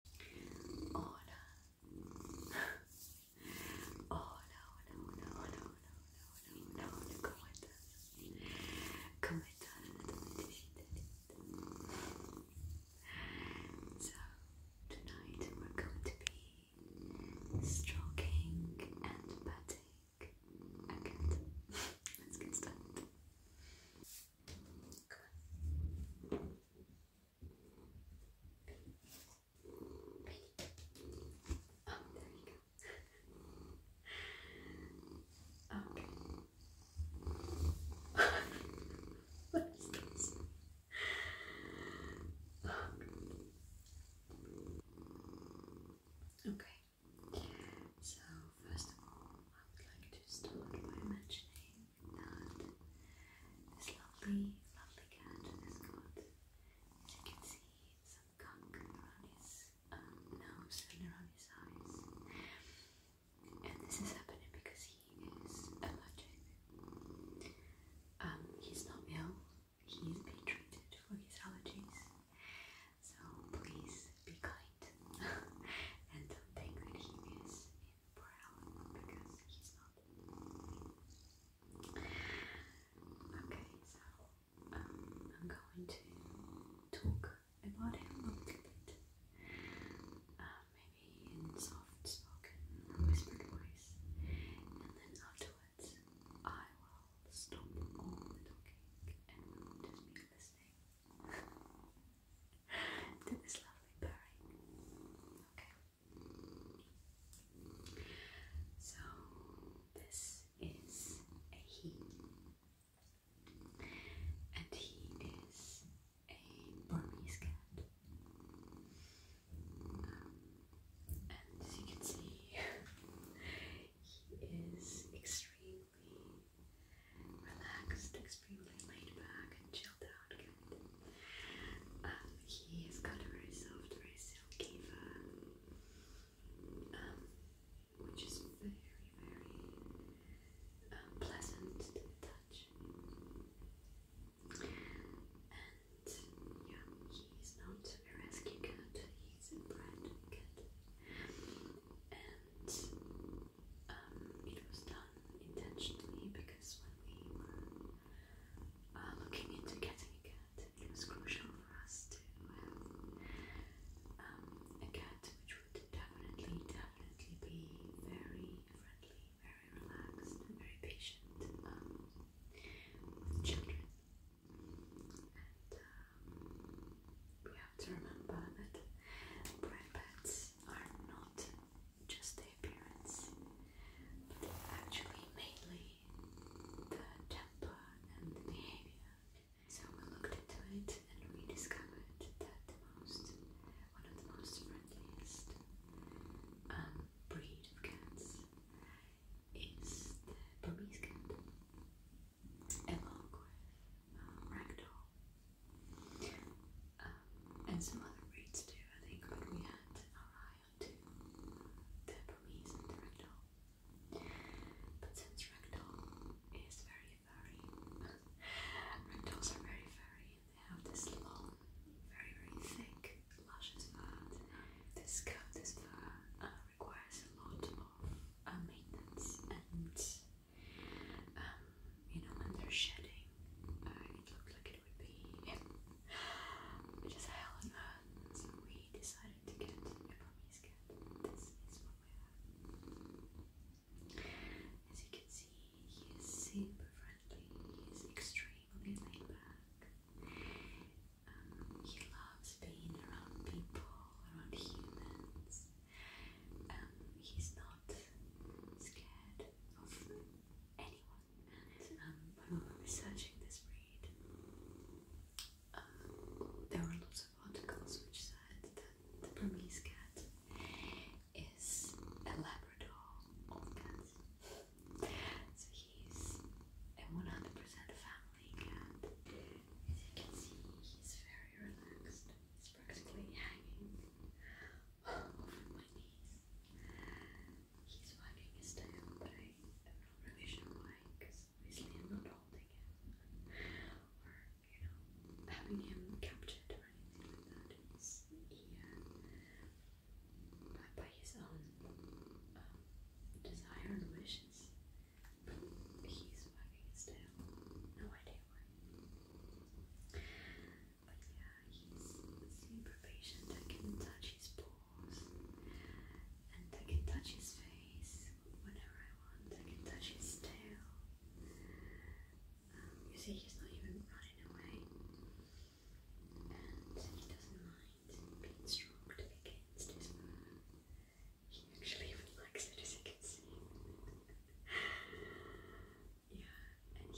Hola. Hola, hola, hola, hola, hola, hola, hola, hola, ¿cómo estás? ¿Cómo estás? So, tonight we're going to be stroking and patting. let's get started. Come on. okay. So first of all, I would like to start by mentioning this lovely, lovely cat as you can see, some gunk around his um, nose and around his eyes. And this is happening because he is allergic. Um, he's not ill, he being treated for his allergies. So please be kind and don't think that he is Okay, so um, I'm going to talk about him uh, maybe in soft spoken, whispered voice, and then afterwards I will stop talking and just be listening. this lovely pairing. Okay. So this is a he, and he is a Burmese cat. And as you can see, he is extremely relaxed, extremely laid back and chilled out um, he has got a very soft, very silky fur, um, which is very, very um, pleasant to touch. And yeah, he's not a rescue cat, he's a brand cat. And um, it was done intentionally because when we were uh, looking into getting a cat, it was crucial for us to have um, a cat which would definitely, definitely be very friendly, very relaxed, and very patient um, with children. And um, we have to remember that brand pets are not just the appearance, but actually mainly the temper and the behavior. So we looked into it and we discovered that the most, one of the most friendliest um, breed of cats is the Burmese cat, along with um, Ragdoll. Um, and some other breeds too, I think like we had our eye on the Burmese and the Ragdoll. But since Ragdoll is very very, Ragdolls are very furry and they have this long, very very thick, luscious fur. This coat, this fur uh, requires a lot of uh, maintenance and um, you know when they're shedding, uh, it looks like it would be just hell we decided to get a Burmese cat. This is what we have. As you can see, he's super friendly. He's extremely laid back. Um, he loves being around people, around humans. Um, he's not scared of anyone and um, when we were researching this breed, um, there were lots of articles which said that the Burmese cat is a Labrador of cats. So he's a 100% family cat. As you can see, he's very relaxed. He's practically hanging off my knees. He's wagging his tail, but I am not really why, because obviously I'm not holding him or, you know, having him captured or anything like that. He's here by, by his own um, desire and wishes. He's wagging his tail. No idea why yeah, he's super patient. I can touch his paws and I can touch his face whenever I want. I can touch his tail. Um, you see, he's not even running away, and he doesn't mind being stroked against his fur. He actually even likes it, as you can see. Yeah, and he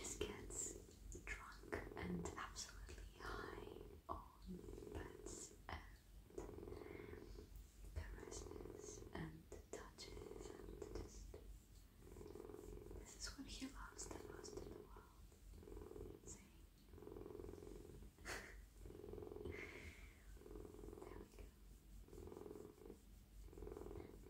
just gets drunk and absolutely high on pets and caresses and touches and just this is what he loves the most in the world. See? there we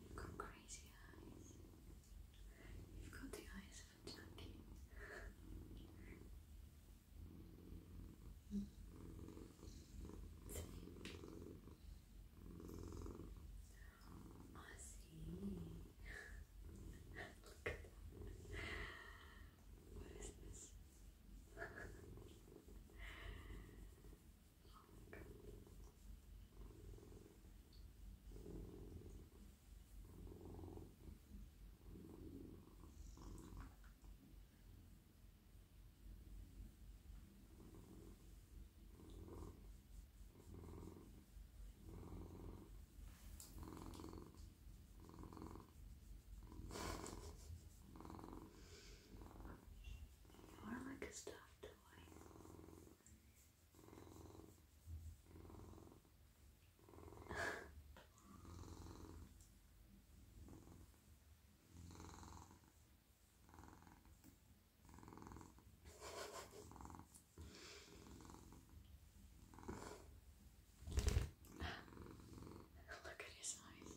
You've got crazy eyes. You've got the eyes of a junkie. Hmm. I see. Look at that. What is this? More like a stuff toy. Look at his eyes.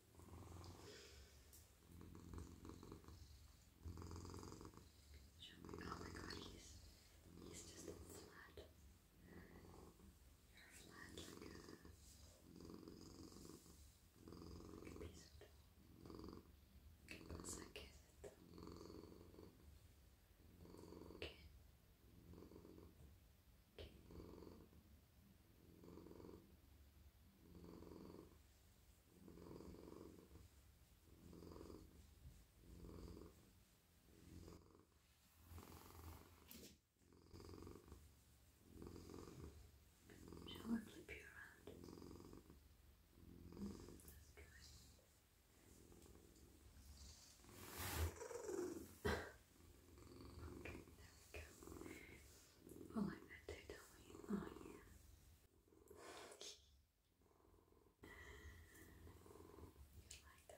Oh my god, he's, he's just flat. You're flat like a, piece of che cosa che è che che Shall I flip you around? Mm, that's good. okay, there we go we like that too, don't we? Oh yeah. you like that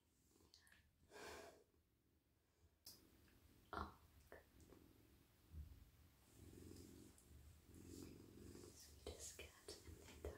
up, you cat in the entire world. Yeah.